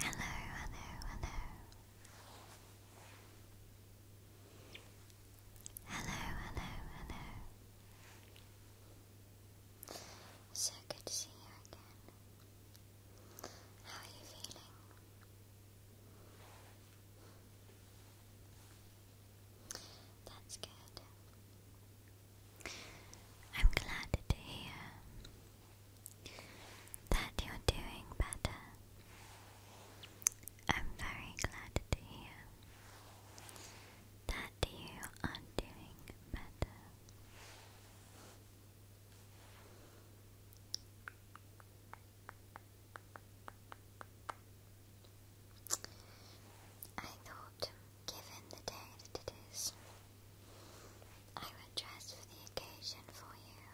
Hello, hello, hello. Hello, hello, So good to see you again. How are you feeling? That's good. I'm glad to hear that you're doing better. I'm very glad to hear that you are doing better. I thought, given the day that it is, I would dress for the occasion for you.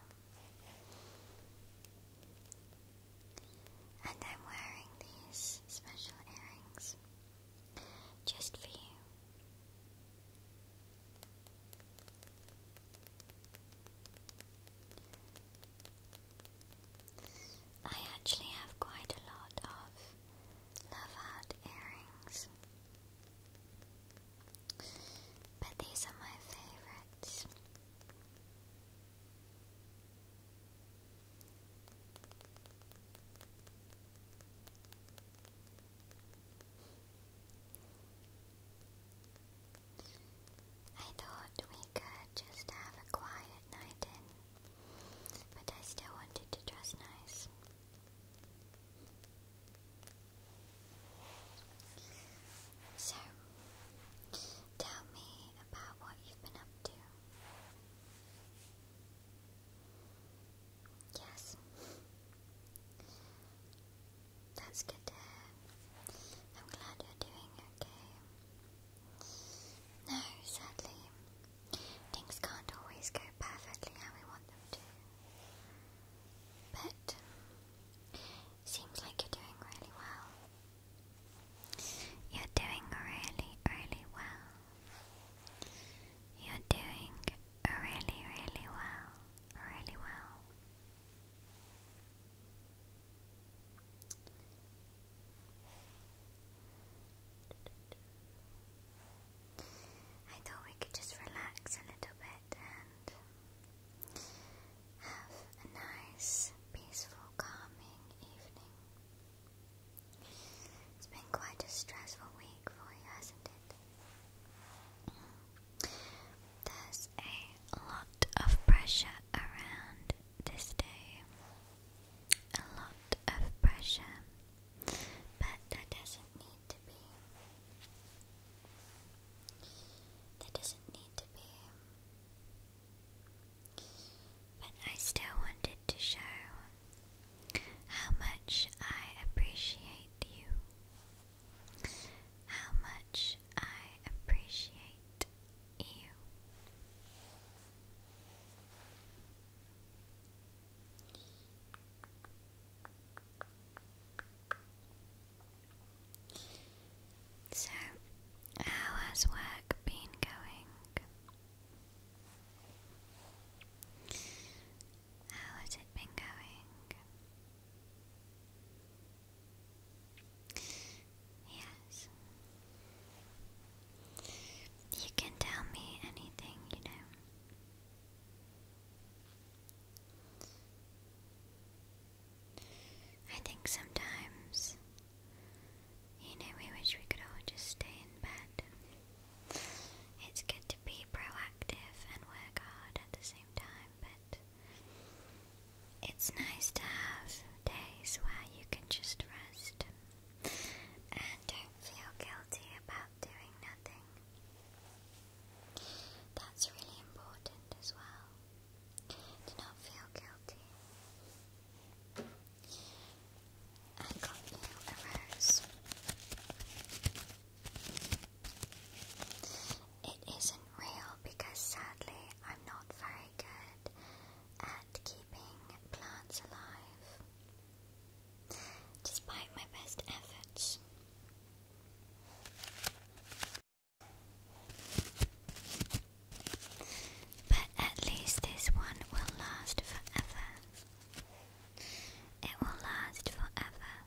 I'm wearing these special earrings just for you. I actually have quite a lot of love heart earrings, but these are my favorites. I thought we could just have a quiet night in, but I still wanted to dress nice. So, tell me about what you've been up to. Yes. That's good I'm glad you're doing okay. No, sadly, things can't always go perfectly how we want them to. But seems like you're doing really well. You're doing really, really well. You're doing really, really well. Really well. I thought we could just relax a little bit and have a nice, peaceful, calming evening. It's been quite a stressful week for you, hasn't it? There's a lot of pressure around this day a lot of pressure, but that doesn't need to be. That doesn't need to be. But I still wanted to show how much I appreciate you. How much I appreciate you. So, how has work been going? How has it been going? Yes. You can tell me anything, you know. I think sometimes, you know, we wish we could all just stay in bed. It's good to be proactive and work hard at the same time, but it's nice to have days where you can just rest and don't feel guilty about doing nothing. That's really important as well, to not feel guilty. I got you a rose. It isn't real because sadly I'm not very good at keeping plants alive, despite my best efforts. But at least this one will last forever. It will last forever.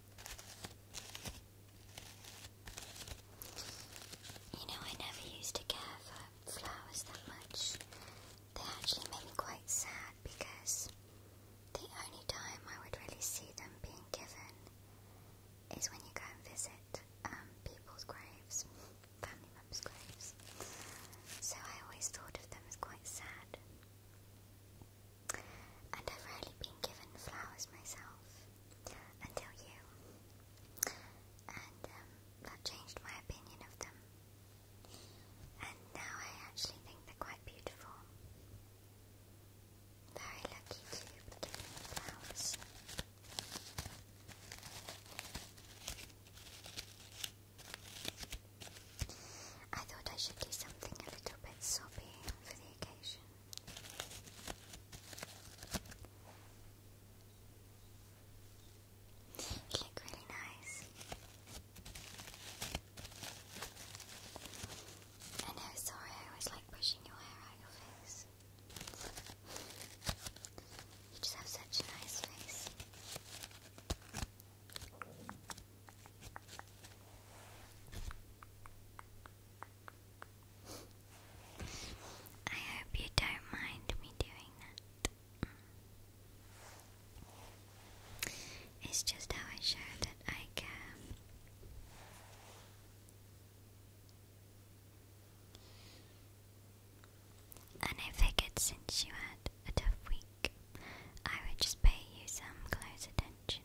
You know, I never used to care for flowers that much. They actually made me quite sad because the only time I would really see them being given is when you go and visit um, people's graves, family members' graves. So I always thought of them as quite sad and I've rarely been given flowers myself until you, and um, that changed my opinion of them. And now I actually think they're quite beautiful. Very lucky to be flowers. I thought I should do something a little bit soppy for the occasion. You look really nice. I know, sorry, I was like pushing your hair out of your face. You just have such a nice face. I hope you don't mind me doing that. It's just how I show that I care. And I figured since you had a tough week, I would just pay you some close attention.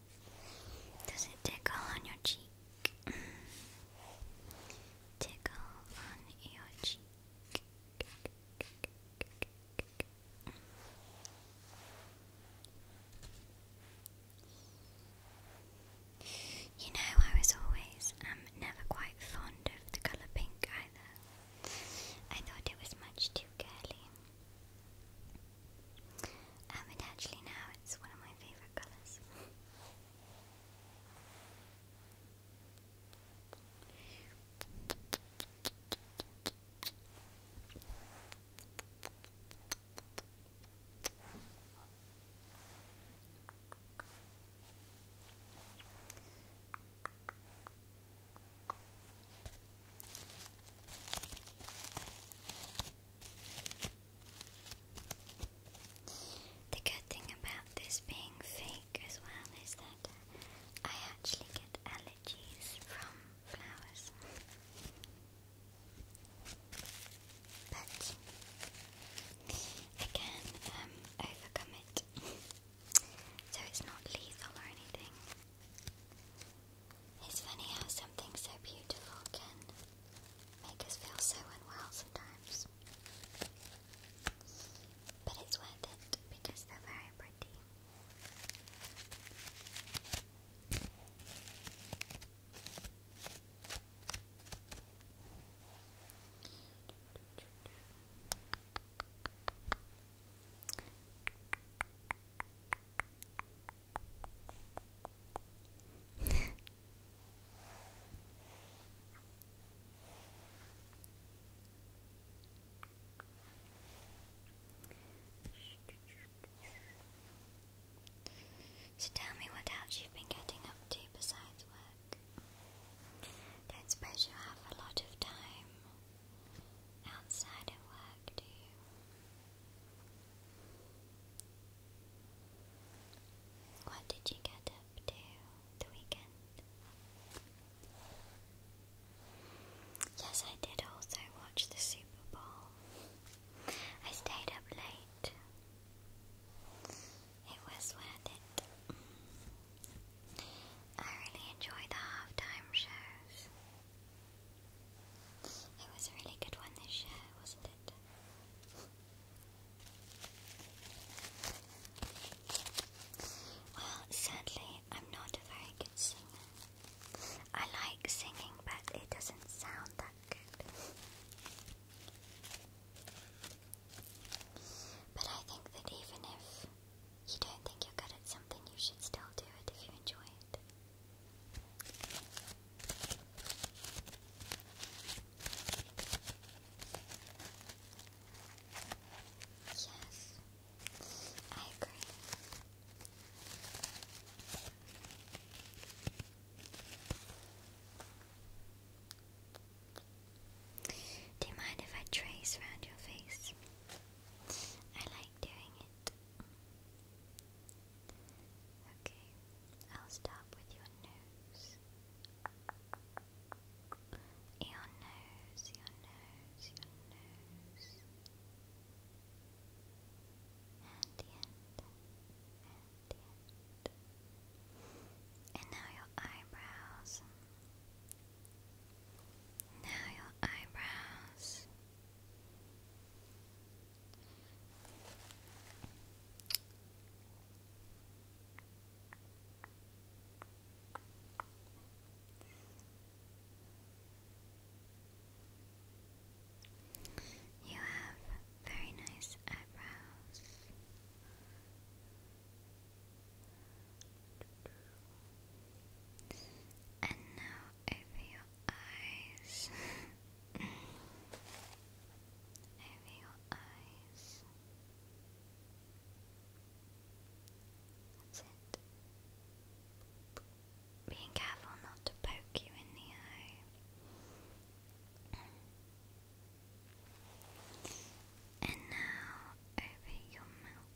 Does it tickle on your cheek? tickle on your cheek. You know, I was always um never quite fond of the colour pink either. I thought it was much too girly. Um, and actually now it's one of my favourite colours. The good thing about this being fake as well is that uh, I actually get allergies from flowers. But I can um, overcome it. so it's not lethal or anything. It's funny how something so beautiful can make us feel so unwell sometimes. But it's worth it because they're very pretty so tell me what else you've been getting up to besides work. Don't suppose you have a lot of time outside of work, do you? What did you get up to the weekend? Yes, I did also watch the Super Bowl. I stayed up late. It was worth it. I really enjoy the halftime shows. It was a really good one this year, wasn't it? Well, sadly, I'm not a very good singer. I like singing, but it doesn't sound that good. But I think that even if you don't think you're good at something, you should still do it if you enjoy it. Yes, I agree. Do you mind if I trace around your face? I like doing it. Okay, I'll start with your nose. Your nose, your nose, your nose. And the end. And the end. And now your eyebrows. Now your eyebrows. You have very nice eyebrows. And now over your eyes. over your eyes. Being careful not to poke you in the eye. And now over your mouth.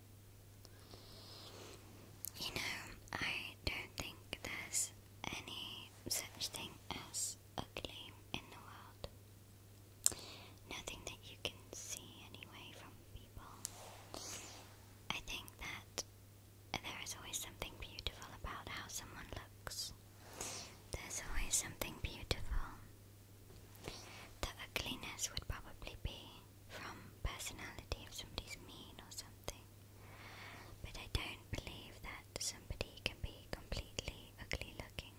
You know, I don't think there's any such thing as ugly in the world. Nothing that you can see anyway from people. I think that there is always something beautiful about how someone looks. There's always something beautiful. The ugliness would probably be from personality if somebody's mean or something. But I don't believe that somebody can be completely ugly looking.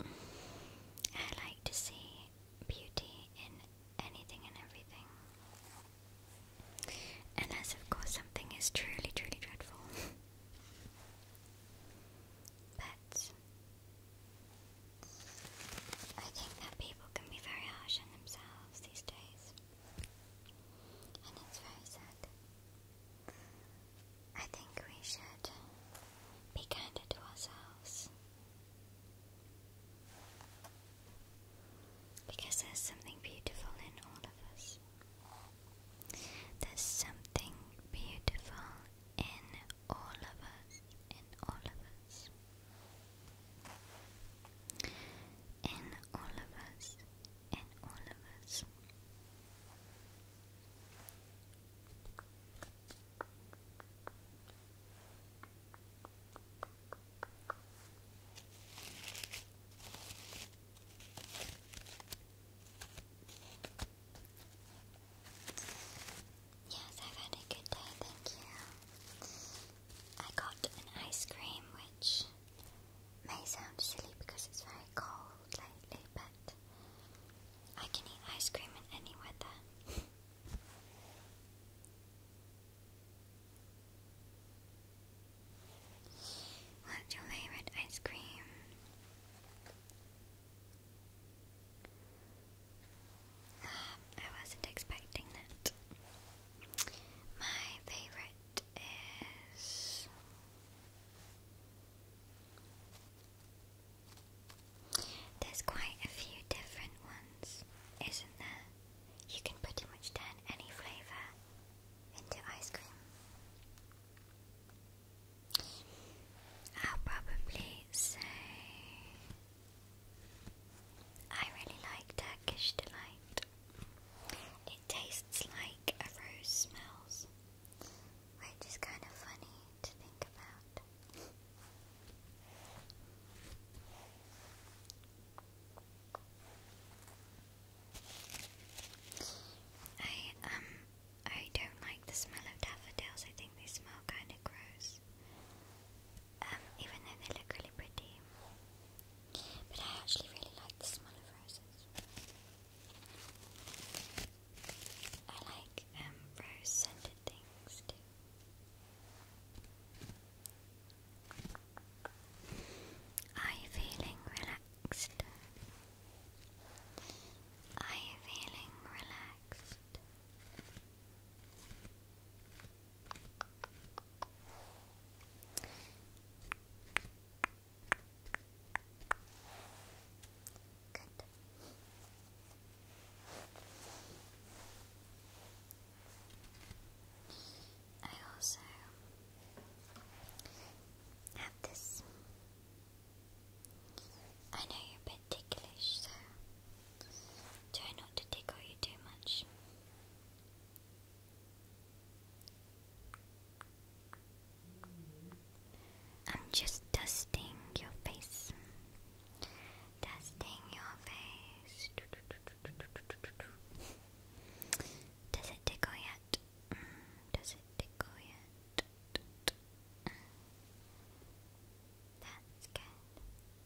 I like to see beauty in anything and everything. Unless, of course, something is truly, truly dreadful. but I think that people can be very harsh on themselves these days, and it's very sad. I think we should be kinder to ourselves because there's something beautiful in all of us. There's something beautiful in all of us, in all of us, in all of us, in all of us. Yes, I've had a good day, thank you. I got an ice cream, which may sound silly because it's very cold lately, but I can eat ice cream in any weather. What's your favorite ice cream? I wasn't expecting that. My favorite is there's quite a few different ones, isn't there? You can pretty much turn any flavour into ice cream. I'll probably say I really like Turkish Delight. It tastes like a rose smells, which is kind of funny to think about. I um I don't like the smell of daffodils. I think they smell kind of gross. Um, even though they look really pretty. But I actually really like the smell of roses. I like um, rose scented things too. Are you feeling relaxed? Are you feeling relaxed? Good. I also have this. I know you're ticklish, so try not to tickle you too much. I'm just dusting your face. Dusting your face. Does it tickle yet? Mm, does it tickle yet? That's good.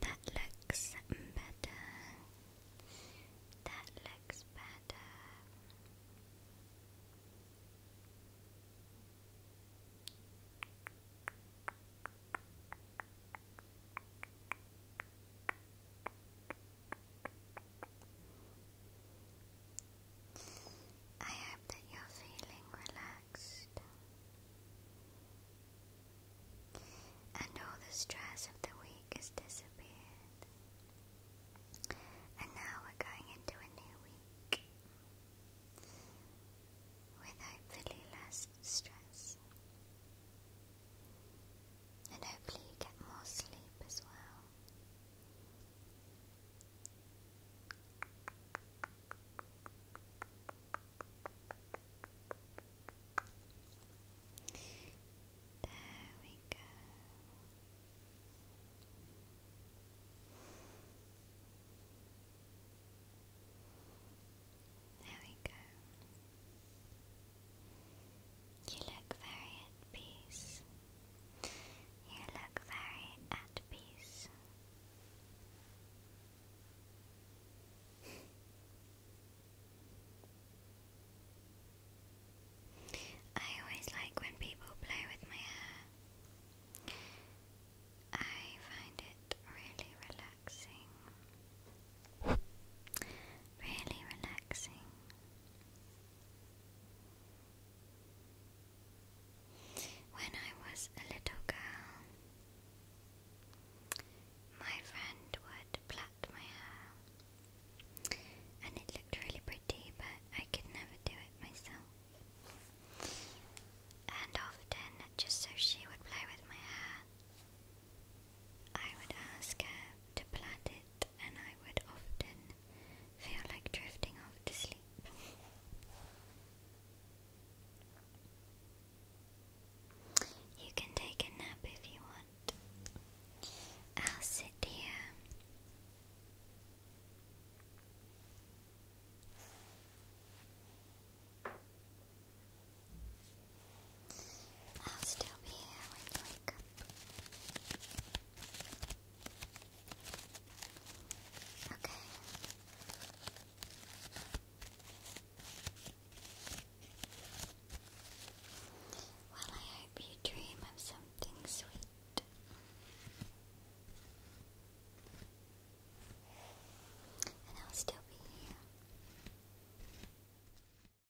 That looks better. That looks better. I hope that you're feeling relaxed and all the stress of the week has disappeared. And now we're going into a new week with hopefully less stress. And hopefully, you get more sleep as well. There we go. There we go. You look very at peace. You look very at peace. I always like when people play with my hair. I find it really relaxing. Really relaxing. When I was a little girl, my friend would plait my hair, and it looked really pretty, but I could never do it myself. And often, just so she would play with my hair, I would ask her to plait it and I would often feel like drifting off to sleep. You can take a nap if you want. I'll sit here. I'll still be here when you wake up. Okay. Well, I hope you dream of something sweet. And I'll still be here.